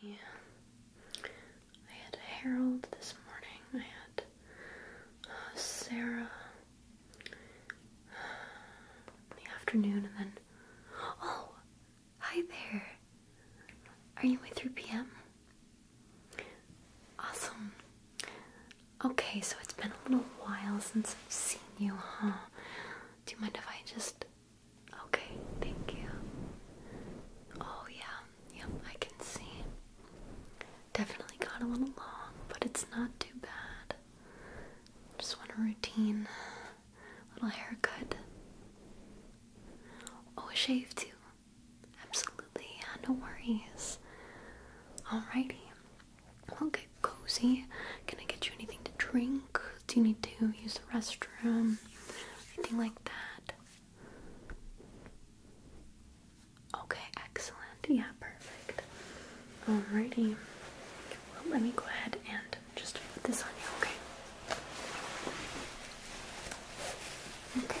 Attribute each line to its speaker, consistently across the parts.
Speaker 1: see. I had Harold this morning. I had uh, Sarah uh, in the afternoon, and then oh, hi there. Are you my 3 p.m.? Awesome. Okay, so it's been a little while since I've seen you, huh? Do you mind if I just Okay, thank you. Oh, yeah, yep, I can see. Definitely got a little long, but it's not too bad. Just want a routine little haircut. Oh, a shave too. Absolutely, yeah, no worries. Alrighty. We'll get cozy. Can I get you anything to drink? Do you need to use the restroom? anything like that? Okay, excellent. Yeah, perfect. Alrighty. Well, let me go ahead and just put this on you, okay? Okay.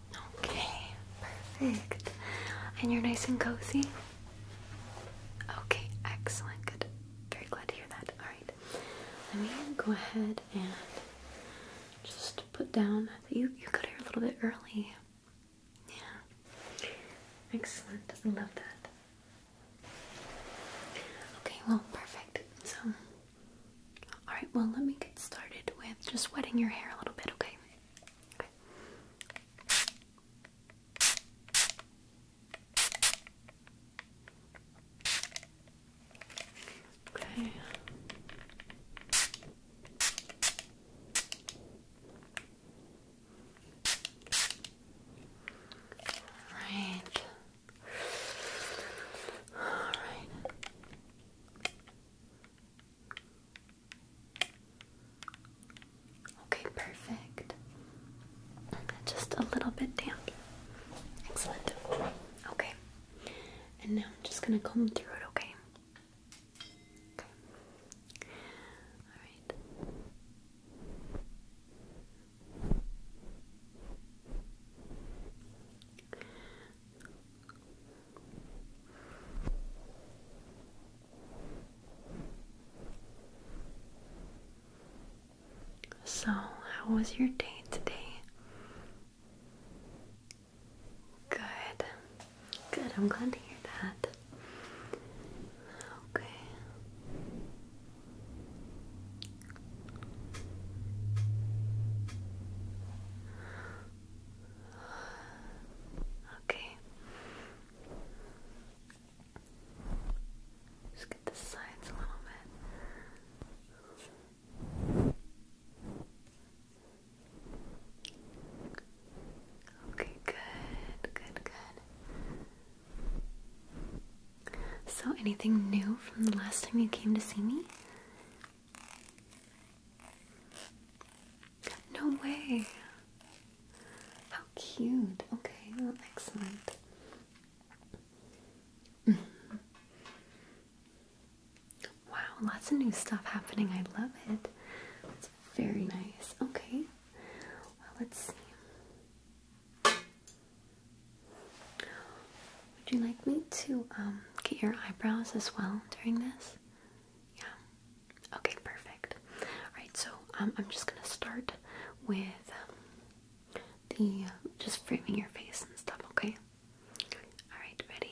Speaker 1: Okay, perfect. And you're nice and cozy? Okay, excellent. Good. Very glad to hear that. Alright, let me go ahead and just put down that you, you got here a little bit early. Yeah. Excellent. I love that. Okay, well, perfect. So, alright, well, let me get started with just wetting your hair a little bit, okay? Okay. Okay. All right. All right. Okay, perfect. Just a little bit damp. Excellent. Okay. And now I'm just gonna comb through it, okay? Okay. Alright. So, how was your day today? Good. Good. I'm glad to hear that. Okay. Okay. Just get the sides a little bit. Okay, good, good, good. So, anything new from the last time you came to see me? No way. How cute. Okay, well, excellent. Mm-hmm. wow, lots of new stuff happening. I love it. It's very nice. Okay. Well, let's see. Would you like me to um, get your eyebrows as well during this? Yeah. Okay, perfect. Alright, so um, I'm just gonna start with um, the uh, just framing your face and stuff, okay? Alright, ready?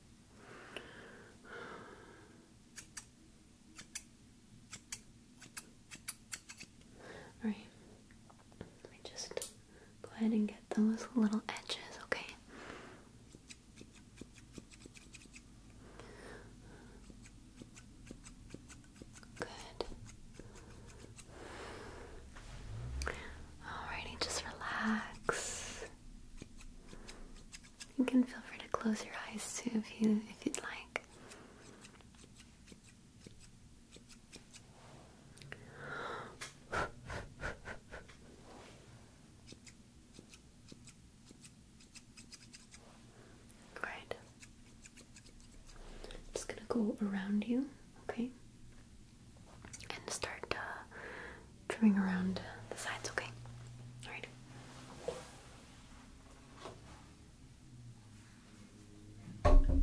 Speaker 1: Alright, let me just go ahead and get those little edges, okay? Good. Alrighty, just relax. You can feel free to close your eyes too if you if you'd like. Great. Just gonna go around you, okay? and start uh, trimming around the sides, okay? Alright. Okay.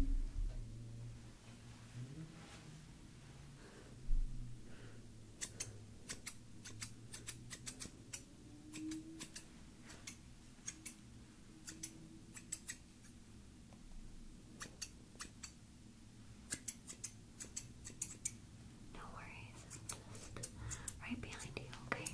Speaker 1: No worries, just right behind you, Okay.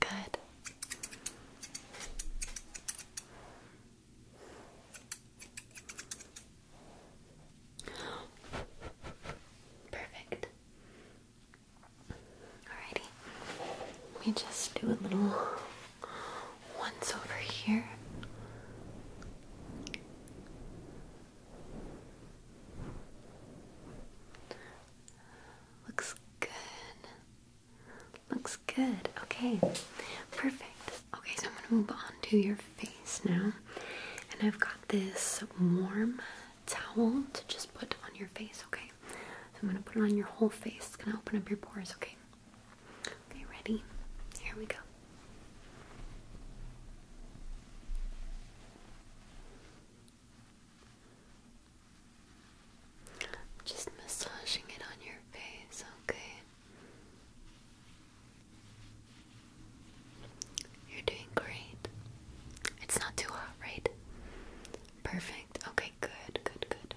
Speaker 1: Good. Perfect. Alrighty. Let me just do a little once over here. Looks good. Looks good. Okay. Perfect. Okay, so I'm gonna move on to your face now. And I've got this warm towel to just put on your face, okay? So I'm gonna put it on your whole face. It's gonna open up your pores, okay? Okay, ready? Here we go just massaging it on your face, okay? You're doing great. It's not too hot, right? Perfect. Okay, good, good, good.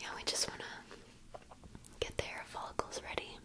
Speaker 1: Yeah, we just want to get the hair follicles ready.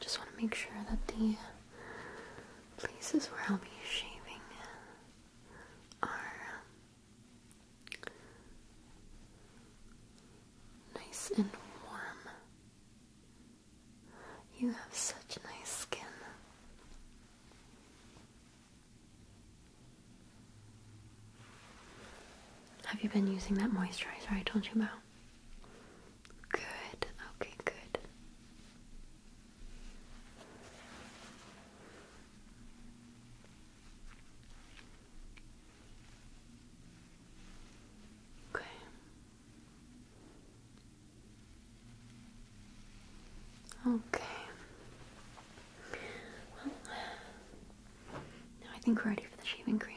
Speaker 1: Just want to make sure that the places where I'll be shaving are um, nice and warm. You have such nice skin. Have you been using that moisturizer I told you about? Good. Okay, good. Okay. Okay. Well, now I think we're ready for the shaving cream.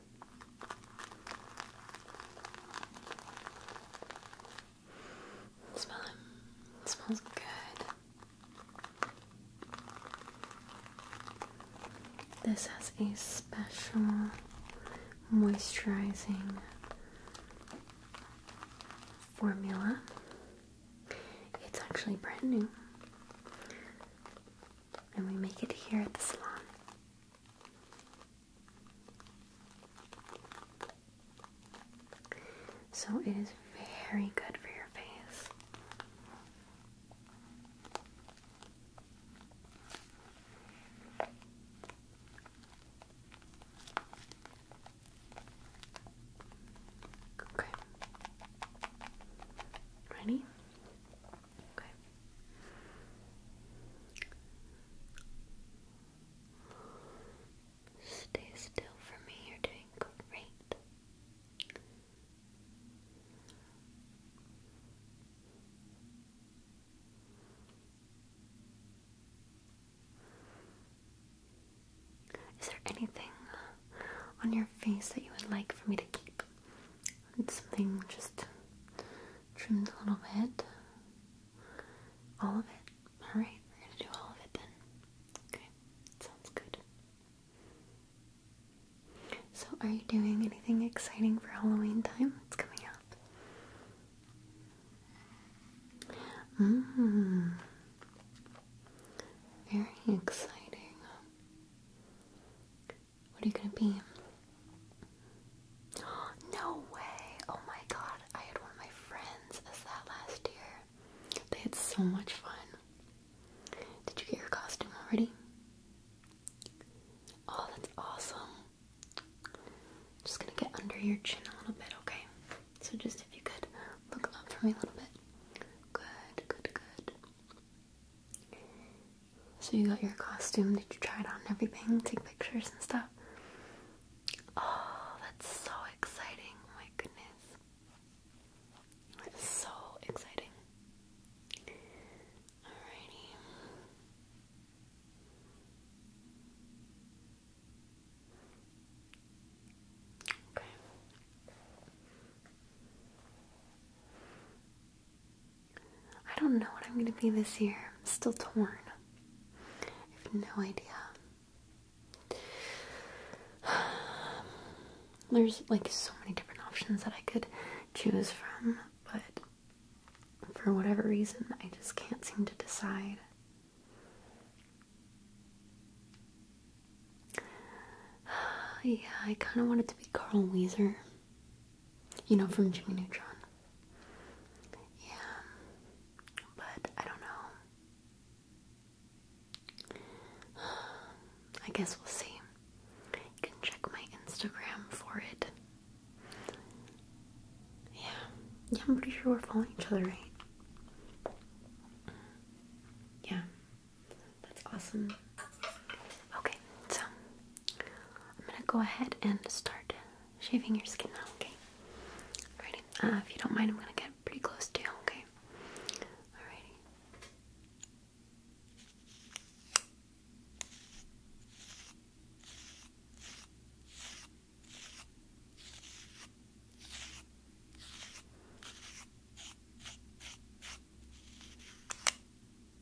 Speaker 1: Smell smells good. This has a special moisturizing formula. It's actually brand new. And we make it here at the salon. So it is very good for your face. Okay. Ready? Stay still for me. You're doing great. Is there anything on your face that you would like for me to keep? and something just trimmed a little bit. All of it. Alright, we're gonna do all of it then. Okay, sounds good. So, are you doing anything exciting for Halloween time? It's coming up. Mmm. Very exciting. What are you gonna be? No way! Oh my god, I had one of my friends as that last year. They had so much fun. Did you get your costume already? Oh, that's awesome. Just gonna get under your chin a little bit, okay? So just if you could look up for me a little bit. Good, good, good. So you got your costume, did you try it on and everything? Take pictures and stuff? Oh, that's so exciting. my goodness. That is so exciting. Alrighty. Okay. I don't know what I'm gonna be this year. I'm still torn. I have no idea. There's like so many different options that I could choose from, but for whatever reason, I just can't seem to decide. yeah, I kind of wanted to be Carl Weezer. You know, from Jimmy Neutron. Yeah, but I don't know. I guess we'll see. You can check my Instagram for it. Yeah, yeah, I'm pretty sure we're following each other, right? Yeah, that's awesome. Okay, so I'm gonna go ahead and start shaving your skin now, okay? Alrighty, uh, if you don't mind, I'm gonna get pretty close to you, okay? Alrighty. Okay,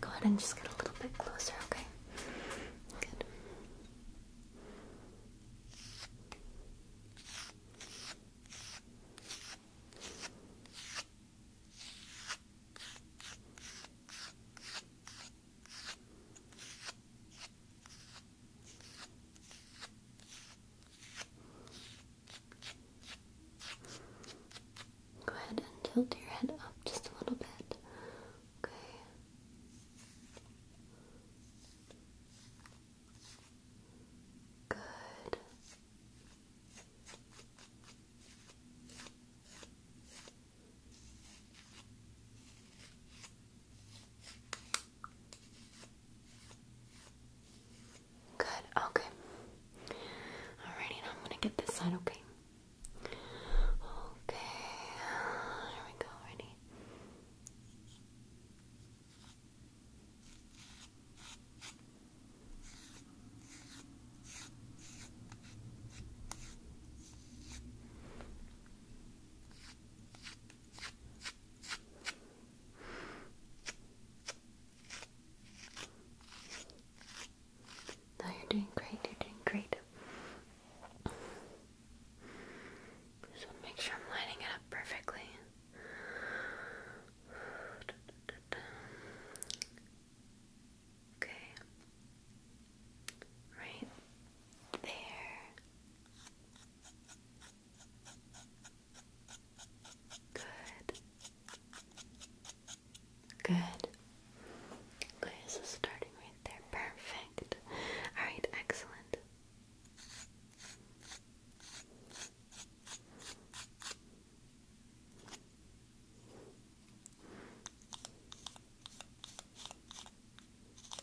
Speaker 1: Go ahead and just get a little bit closer, okay? Good. Go ahead and tilt your head up just a little bit. Okay. Good. Good, okay. Alrighty, now I'm gonna get this side, okay? Okay, here we go, ready? No, you're doing great, you're doing great. Just make sure I'm lining it up perfectly. Okay. Right there. Good. Good. Okay, so starting right there. Perfect. Alright, excellent.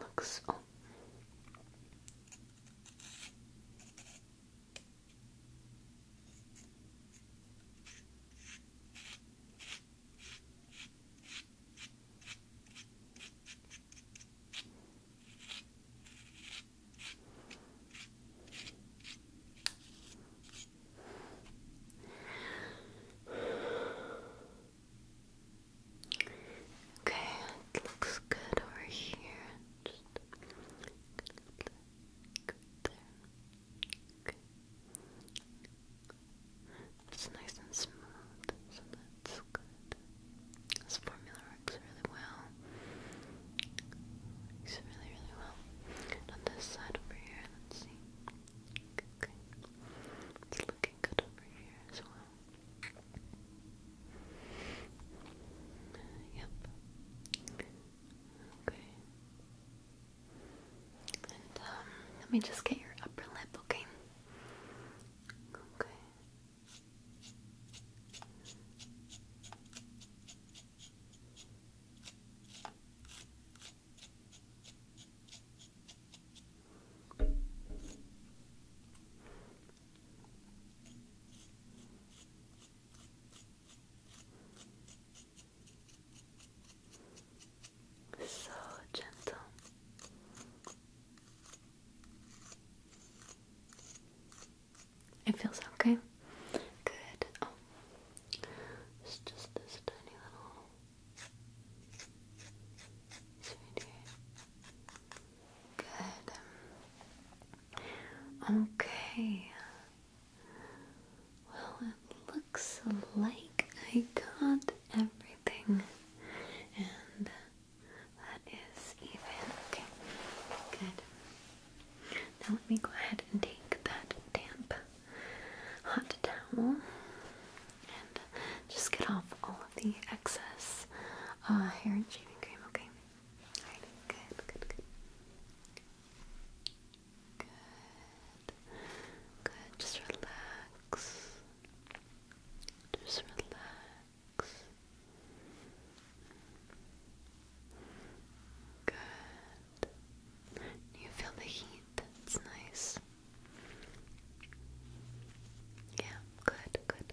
Speaker 1: Looks oh. Okay, it looks good over here. It's nice and smooth, so good. This formula works really well. Works really, really well. on this side over here, let's see. Okay. It's looking good over here as well. yep. Okay. And um, let me just get your upper lip, okay? Okay. So gentle. It feels okay. Good. Oh, it's just this tiny little Good. Um, okay. Well, it looks like I got everything, and that is even. Okay, good. Now let me go ahead and take that damp hot towel and just get off all of the excess uh, hair and shaving cream, okay? good. Good. Good. Just relax. Just relax. Good. You feel the heat, That's nice. Yeah, good. Good.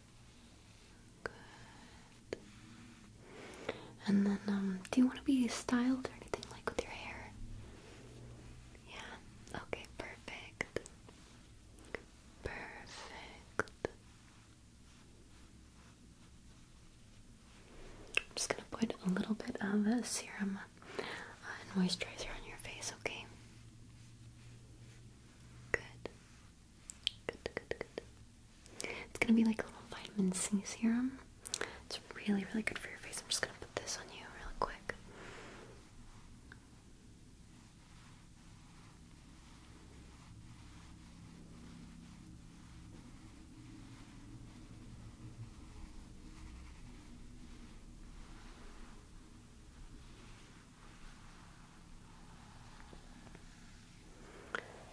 Speaker 1: Good. And then, um, do you want to be styled or anything like with your hair? Yeah. Okay. Perfect. Perfect. I'm just gonna put a little bit of a serum and moisturizer on your face. Okay. Good. It's gonna be like a little vitamin C serum. It's really, really good for your face. I'm just gonna put this on you real quick.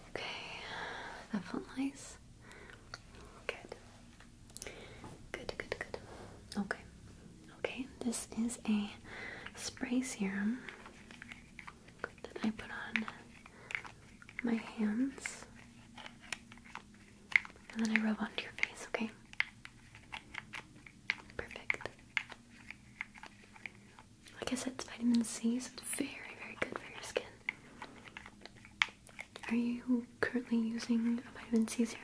Speaker 1: Okay, that felt nice. Good. Good, good, good. Okay. Okay, this is a spray serum that I put on my hands. And then I rub onto your face, okay? Perfect. Like I said, it's vitamin C, so it's very, very good for your skin. Are you currently using a vitamin C serum?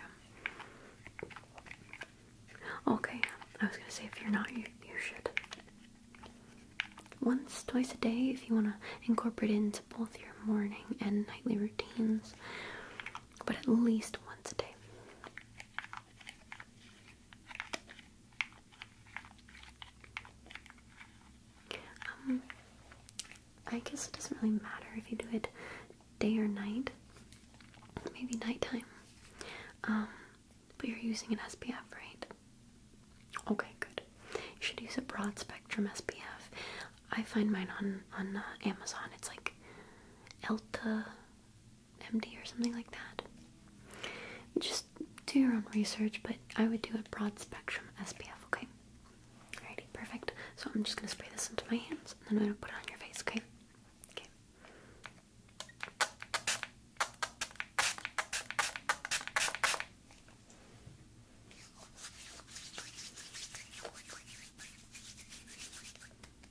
Speaker 1: Okay, I was gonna say if you're not, you, should. Once, twice a day, if you want to incorporate it into both your morning and nightly routines, but at least once a day. Um, I guess it doesn't really matter if you do it day or night, maybe nighttime. Um, but you're using an SPF, right? Okay, good. You should use a broad spectrum SPF. I find mine on on uh, Amazon. It's like Elta MD or something like that. Just do your own research, but I would do a broad spectrum SPF, okay? Alrighty, perfect. So I'm just gonna spray this into my hands and then I'm gonna put it on your face, okay? Okay.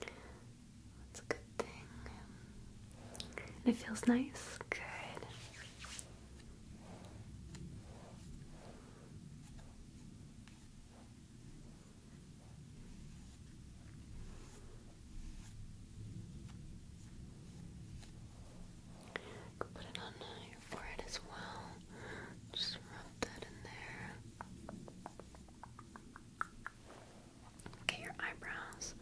Speaker 1: That's a good thing. it feels nice. Good. Put it on your forehead as well. Just rub that in there. Okay, your eyebrows.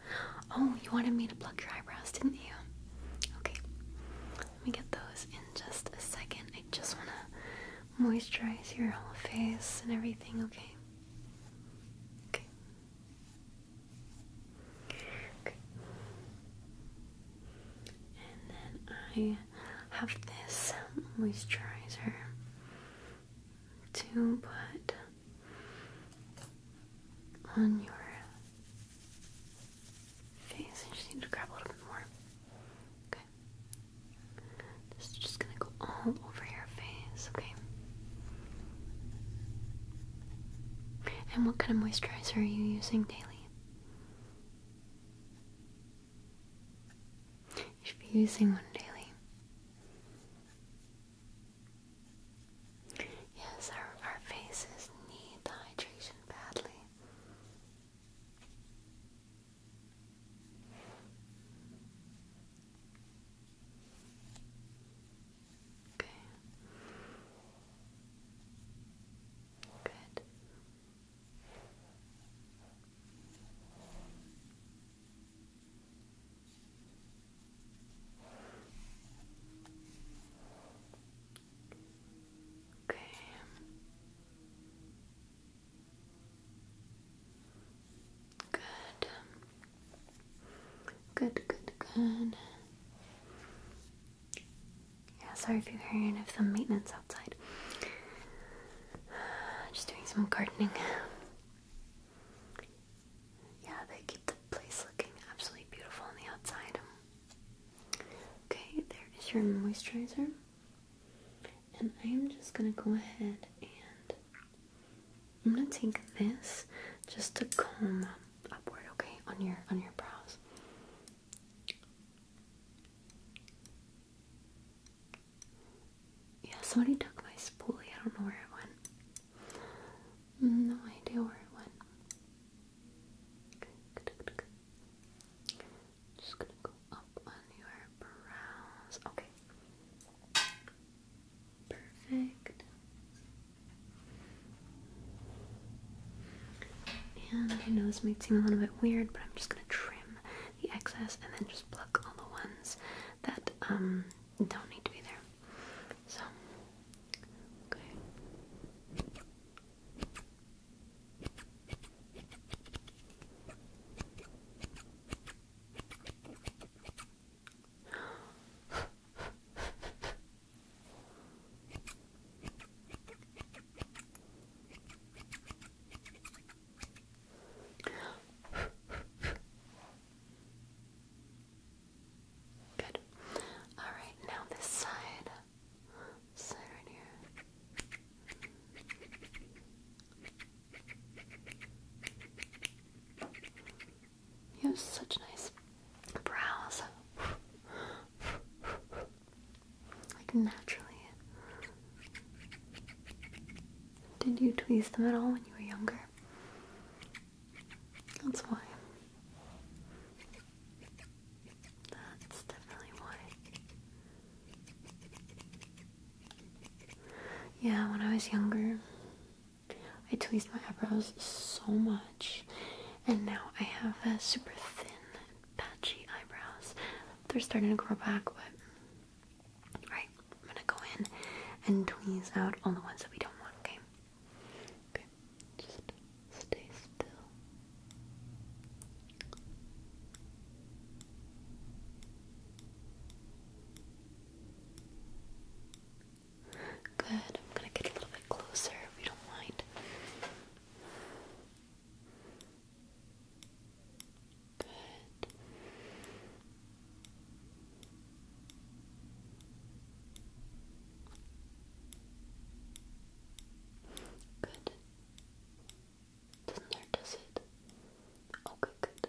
Speaker 1: Oh, you wanted me to pluck your eyebrows, didn't you? Okay. Let me get those in just a second. I just want to moisturize your whole face and everything, okay? Okay. Okay. And then I have this moisturizer to put on your face. I just need to grab a little bit more. Okay. This is just gonna go all over your face, okay? And what kind of moisturizer are you using daily? You should be using one daily. Yes, our, our faces need hydration badly. Okay. Good. Okay. Good. Good, good, good. Yeah, sorry if you're hearing of some maintenance outside. Just doing some gardening. Yeah, they keep the place looking absolutely beautiful on the outside. Okay, there is your moisturizer. And I'm just gonna go ahead and I'm gonna take this just to comb upward, okay, on your on your brows. Yeah, somebody took my spoolie. I don't know where it went. No idea where it went. Just gonna go up on your brows. Okay. Perfect. And know this might seem a little bit weird, but I'm just gonna trim the excess and then just pluck all the ones that um, don't need to be there. So, okay. Good. All right, now this side. side right here. You have such nice brows. Like naturally. Did you tweeze them at all when you were younger? That's why. That's definitely why. Yeah, when I was younger, I tweezed my eyebrows so much, and now I have a super thin patchy eyebrows. They're starting to grow back, but right, I'm gonna go in and tweeze out all the ones that we don't want, okay? just stay still. Good. I'm gonna get a little bit closer if don't mind. Good. Good. does it? Okay, good.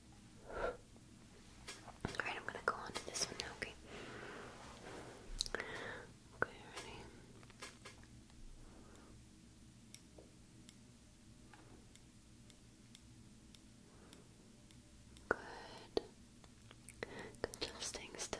Speaker 1: Alright, I'm gonna go on to this one now, okay? Okay, ready? Good. Good staying still.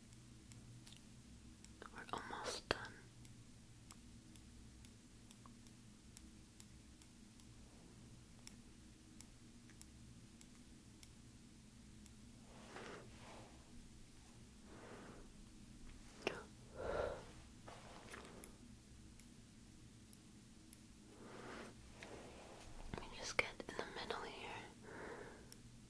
Speaker 1: We're almost done. Let me just get in the middle here.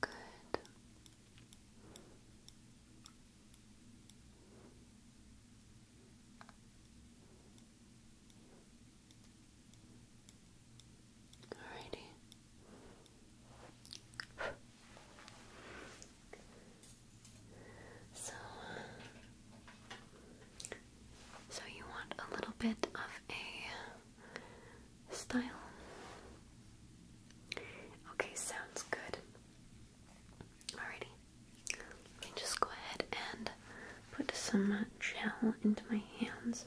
Speaker 1: Good. Alrighty. So, uh, so you want a little bit of a style. Okay, sounds good. Alrighty. Let me just go ahead and put some gel into my hands.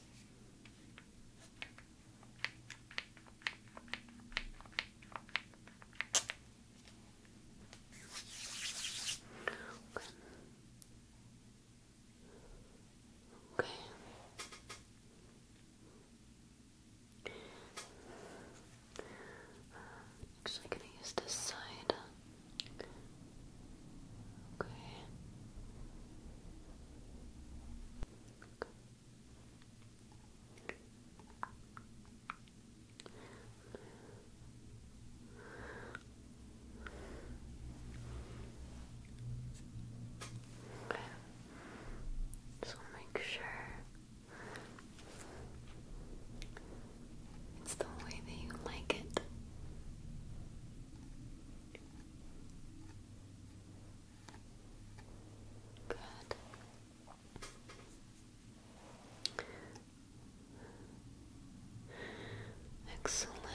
Speaker 1: Okay. actually going to use this side. Okay. Okay. Okay. make sure it's the way that you like it. Good. Excellent.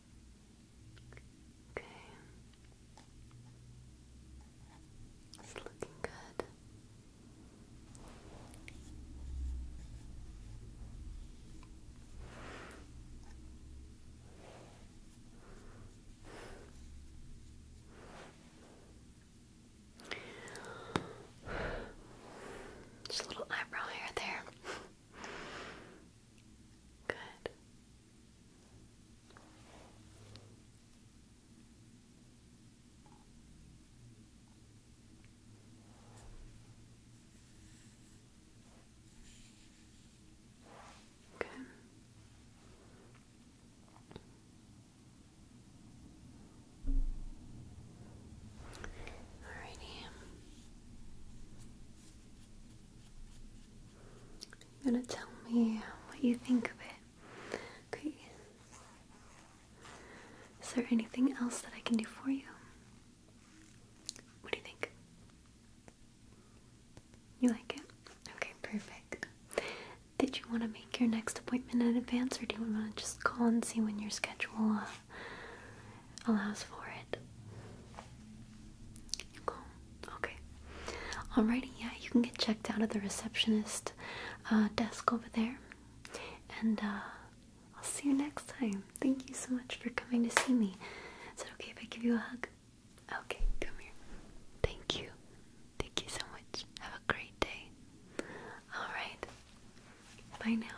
Speaker 1: Okay. It's looking good. Just a little eyebrow hair there. Good. Okay. Alrighty. You're gonna tell me what you think of it. Okay. Is there anything else that I can do for you? What do you think? You like it? Okay, perfect. Did you want to make your next appointment in advance or do you want to just call and see when your schedule uh, allows for it. Cool. Okay. Alrighty, yeah, you can get checked out at the receptionist uh, desk over there. And uh, I'll see you next time. Thank you so much for coming to see me. Is it okay if I give you a hug? Okay, come here. Thank you. Thank you so much. Have a great day. Alright. Bye now.